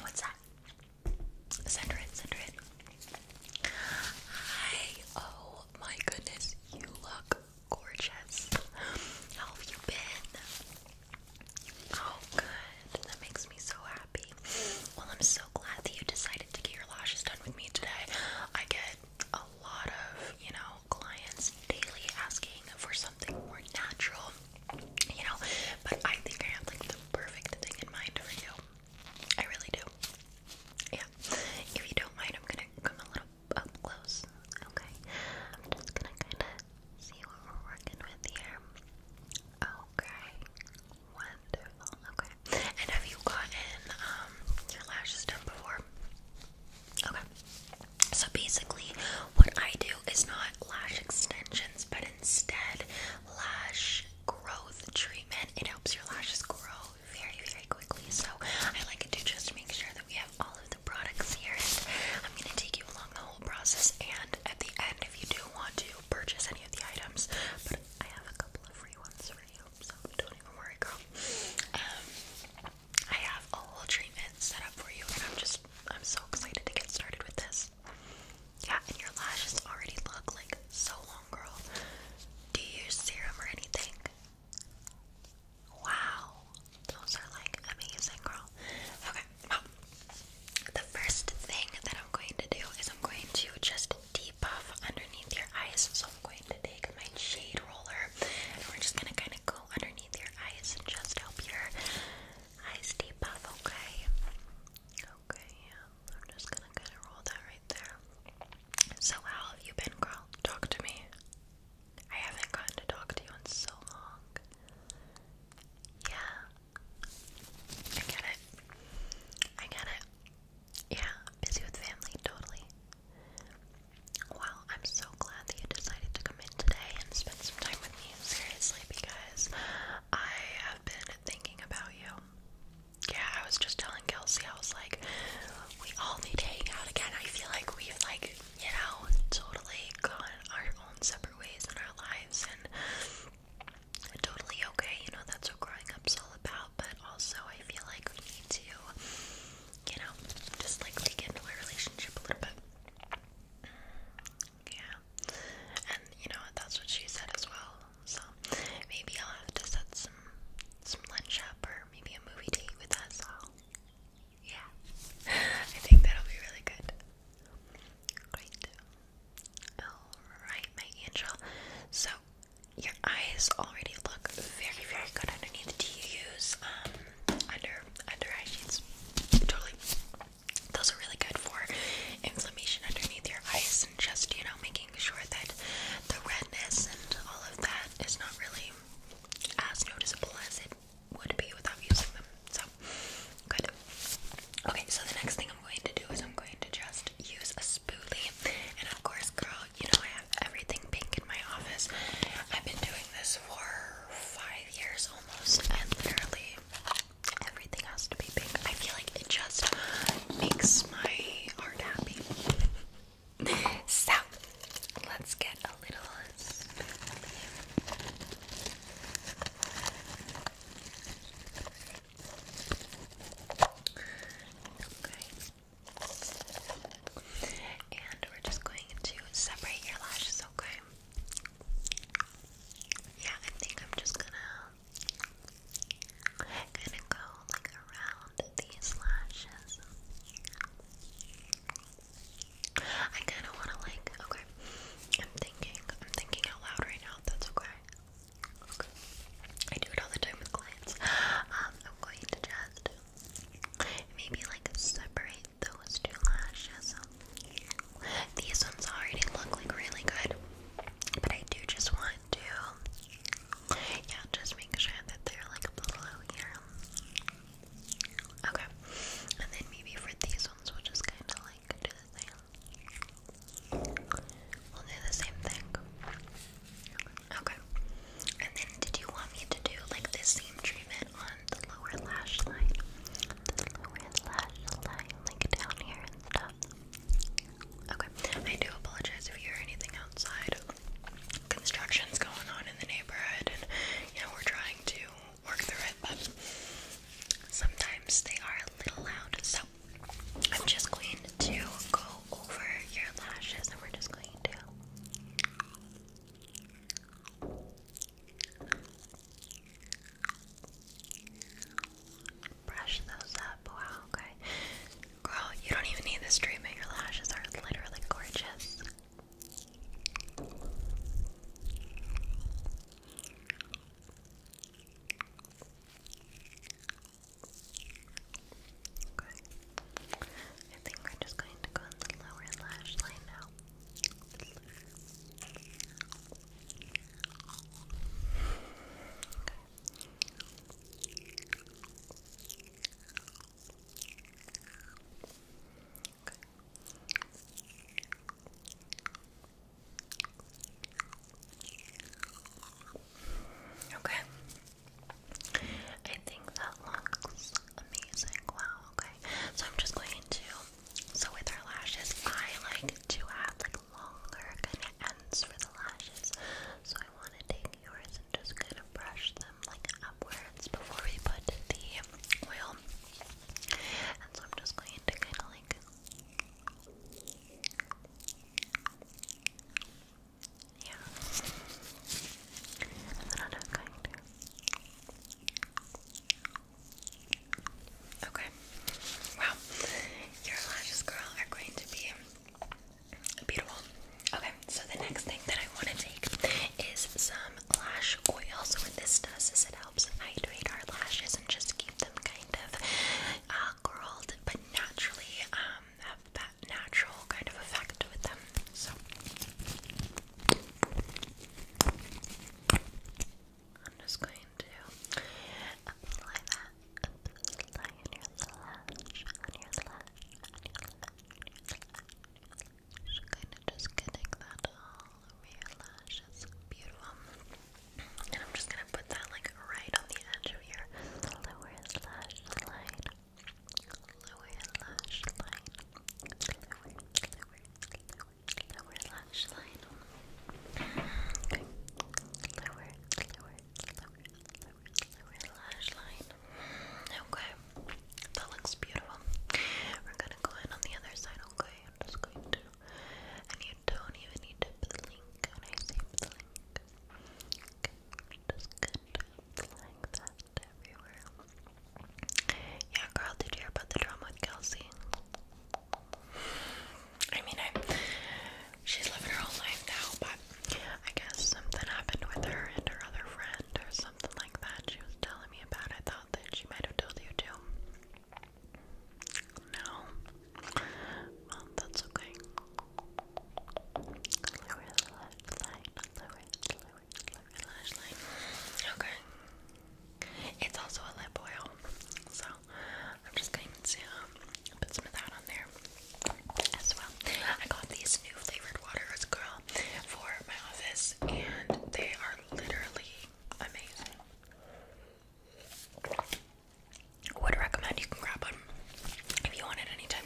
What's that? Send her Hi! Oh my goodness, you look gorgeous. How have you been? Oh, good. That makes me so happy. Well, I'm so glad that you decided to get your lashes done with me today. I get a lot of, you know, clients daily asking for more natural, you know. But I think I have like the perfect thing in mind for you. I really do. Yeah. If you don't mind, I'm gonna come a little up close. Okay. I'm just gonna kinda see what we're working with here. Okay. Wonderful. Okay. And have you gotten um, your lashes done before? Okay. So basically, what I do is not lash extensions, but instead lash growth treatment. It helps your lashes grow very, very quickly. So I like to just make sure that we have all of the products here. And I'm gonna take you along the whole process. And at the end, if you do want to purchase any of the items, but I have a couple of free ones for you, so don't even worry, girl. Um, I have a whole set up for you, and I'm just I'm so excited to get started with this. Yeah, and your lashes already look like so long, girl. Do you use serum or anything? Wow, those are like amazing, girl. Okay, well, the first thing that I'm going to do is I'm going to just debuff underneath your eyes. So I'm going to take my shade roller and we're just gonna kind of go underneath your eyes and just help your eyes deep off, okay? Okay, yeah. I'm just gonna kinda roll that right there. So how have you been, girl? Talk to me. I haven't gotten to talk to you in so long. Yeah. I get it. I get it. Yeah, busy with family, totally. Well, I'm so glad that you decided to come in today and spend some time with me, seriously, because I have been thinking about you. Yeah, I was just telling Kelsey, I was like, we all need to hang out again. I feel like we've, like, you know, totally gone our own separate ways in our lives, and totally okay, you know, that's what growing up's all about, but also I feel like we need to, you know, just like dig into our relationship a little bit. Yeah. And you know That's what she said as well. So maybe I'll have to set some some lunch up or maybe a movie date with us all. Yeah. I think that'll be really good. Great. Alright, my angel. So your eyes already look very, very good underneath. Do you use under under eye shades. Totally. Those are really good for inflammation underneath your eyes and just, you know, making sure that the redness and all of that is not really as noticeable as it would be without using them. So, good. Okay, so the next thing I'm going to do is I'm going to just use a spoolie. And of course, girl, you know I have everything pink in my office. I've been doing this for five years almost, and literally everything has to be pink. I feel like it just makes my heart happy. So, let's get a little. And we're just going to separate your lashes, okay? Yeah, I think I'm just gonna gonna go like around these lashes. I kinda wanna like okay. I'm thinking I'm thinking out loud right now, that's okay. I do it all the time with clients. Um, I'm going to just Maybe like separate those two lashes. These ones already look like really good, but I do just want to, yeah, just make sure that they're like below here. Okay, and then maybe for these ones, we'll just kind of like do the same. We'll do the same thing. Okay. And then did you want me to do like this same treatment on the lower lash line? The lower lash line, like down here and stuff. Okay. I do apologize if you hear anything outside. Construction's going on in the neighborhood and you know we're trying to work through it, but sometimes they are a little loud, so I'm just going to go over your lashes and we're just going to brush those up. Wow, okay. Girl, you don't even need this treatment. Your lashes are literally gorgeous. Okay. I think we're just going to go on the lower lash line now. Okay. Okay, I think that looks amazing. Wow, okay. So I'm just going to so with our lashes, I like to add like longer kind of ends for the lashes. So I want to take yours and just kind of brush them like upwards before we put the oil. And so I'm just going to kind of like yeah. That's what I'm not going to. Okay. Wow. Your lashes, girl, are going to be beautiful. Okay, so the next thing that I want to take is some lash oil. So what this does is it helps hydrate our lashes and just keep them kind of uh, curled but naturally um, have that natural kind of effect with them. So I'm just going to apply that. on your lash, on your lash, on your lash. Just kind of just getting that all over your lashes. Beautiful. And I'm just gonna put that like right on the edge of your lower lash line. Lower lash line. Lower, lower, lower, lower lash line. Okay. That looks beautiful. We're gonna go in on the other side, okay? I'm just going to. I need don't even need to blink when I say blink. Okay, just good. Like that everywhere. Yeah, girl, did you hear about the drama with Kelsey? I mean, I she's living her whole life now, but I guess something happened with her and her other friend or something like that. She was telling me about. I thought that she might have told you too. No. Um, that's okay. Okay. It's also a lip oil, so I'm just going to um, put some of that on there as well. I got these new flavored waters, girl, for my office, and they are literally amazing would recommend you can grab them if you want it anytime.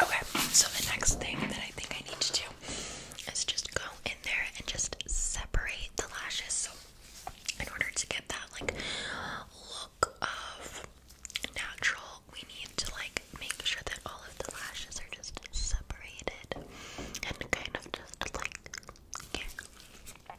Okay, so the next thing that I think I need to do is just go in there and just separate the lashes. So, in order to get that like look of natural, we need to like make sure that all of the lashes are just separated and kind of just like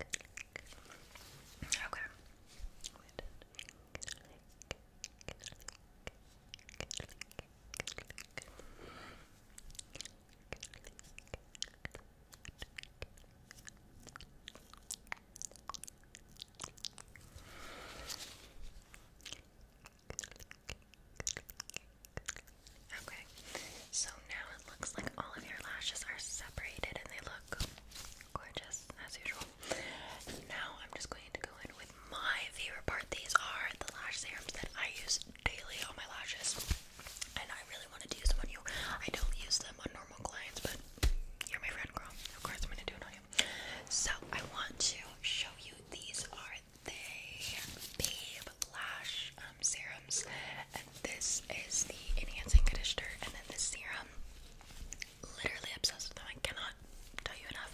Okay. Okay, so now looks like all of your lashes are separated and they look gorgeous as usual. Now I'm just going to go in with my favorite part. These are the lash serums that I use daily on my lashes. And I really wanted to use them on you. I don't use them on normal clients, but you're my friend girl. Of course I'm gonna do it on you. So I want to show you these are they babe lash um, serums and this is the enhancing conditioner, and then this serum. Literally obsessed with them. I cannot tell you enough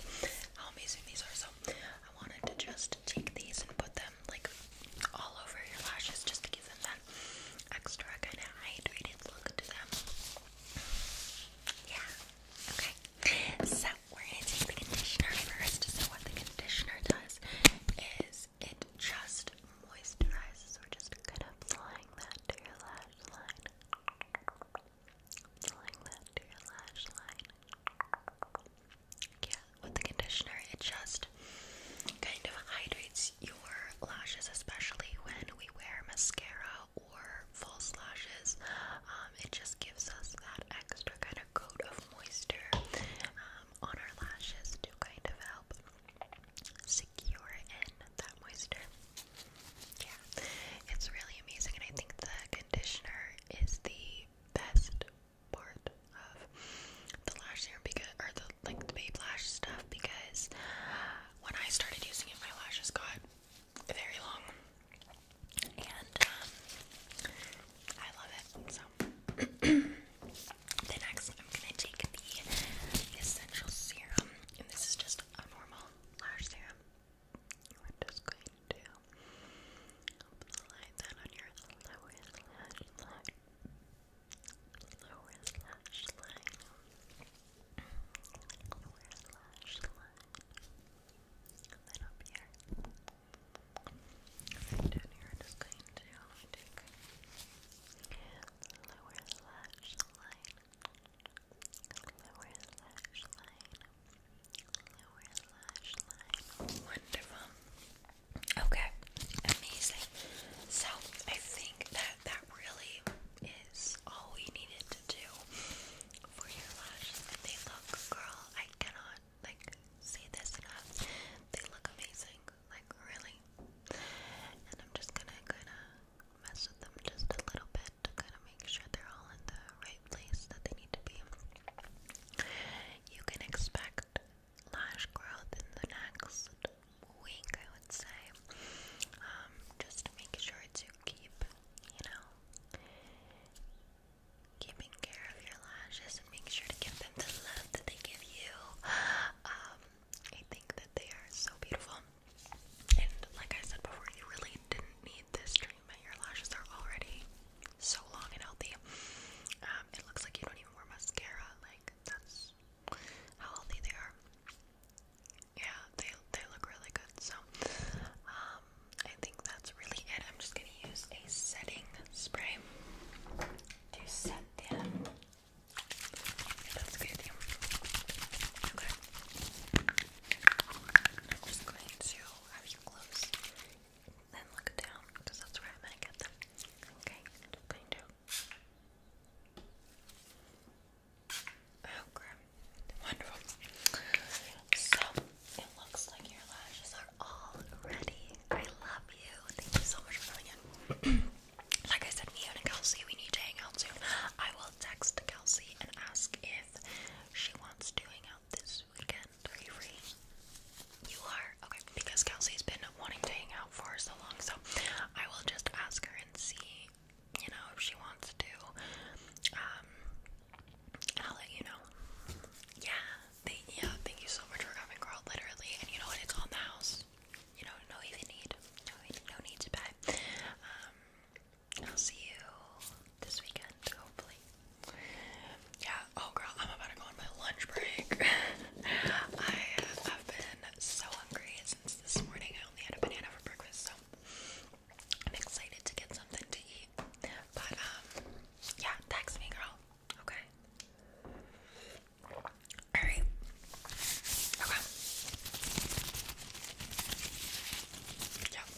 how amazing these are. So I wanted to just take these and put them like all over your lashes, just to give them that extra kind of hydrated look to them. Yeah. Okay. So we're gonna take the conditioner first. So what the conditioner does is it just moisturizes. We're just kind of applying that to your lash line. Applying that to your lash line. Yeah, with the conditioner, it just kind of hydrates your lashes, especially when we wear mascara or false lashes. Um, it just gives us that extra kind of coat of moisture um, on our lashes to kind of help secure in that moisture. Yeah, it's really amazing, and I think the conditioner is the best part of the lash serum because, or the like the baby lash stuff because when I started using it, my lashes got very long, and um, I love it so. Then next, I'm gonna take the essential serum, and this is just a normal lash serum. We're just going to apply that on your lower lash line. Lower lash line. Lower lash line. And then up here. Right down Wonderful. Okay, amazing. So I think that that really is all we needed to do for your lashes. They look, girl, I cannot like say this enough. They look amazing like really. And I'm just gonna kinda mess with them just a little bit to kinda make sure they're all in the right place that they need to be. You can expect lash growth in the next week, I would say. Um, just make sure to keep, you know, keeping care of your lashes and make sure to give them the love that they give you. Um, I think that they are so beautiful. And like I said before, you really didn't need this treatment. Your lashes are already so long and healthy. Um, it looks like you don't even wear mascara. Like that's how healthy they are. Yeah, they they look really good. So, um, I think that's really it. I'm just going to use a setting spray to set them. Um, okay. I'm just going to have you close and look down because that's where I'm going to get them. Okay. Just going to. Okay. Wonderful. So. It looks like your lashes are all ready. I love you. Thank you so much for coming in. like I said, me and Kelsey, we need to hang out soon. I will text Kelsey and ask if she wants to hang out this weekend. Are you free? You are? Okay, because Kelsey's been wanting to hang out for so long, so I will just ask her and see, you know, if she wants to. Um, I'll let you know. Yeah, yeah. Thank you so much for coming, girl. Literally, and you know what? It's on the house. You know, no need, to buy. Um, I'll see you this weekend, hopefully. Yeah. Oh, girl, I'm about to go on my lunch break. I have uh, been so hungry since this morning. I only had a banana for breakfast, so I'm excited to get something to eat. But um, yeah, text me, girl. Okay. Alright. Okay. Yeah.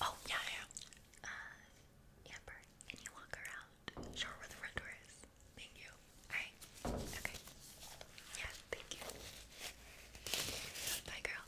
Oh, yeah, yeah. Uh, Amber, can you walk around? Show her where the front door is. Thank you. Alright. Okay. Yeah, thank you. Bye, girl.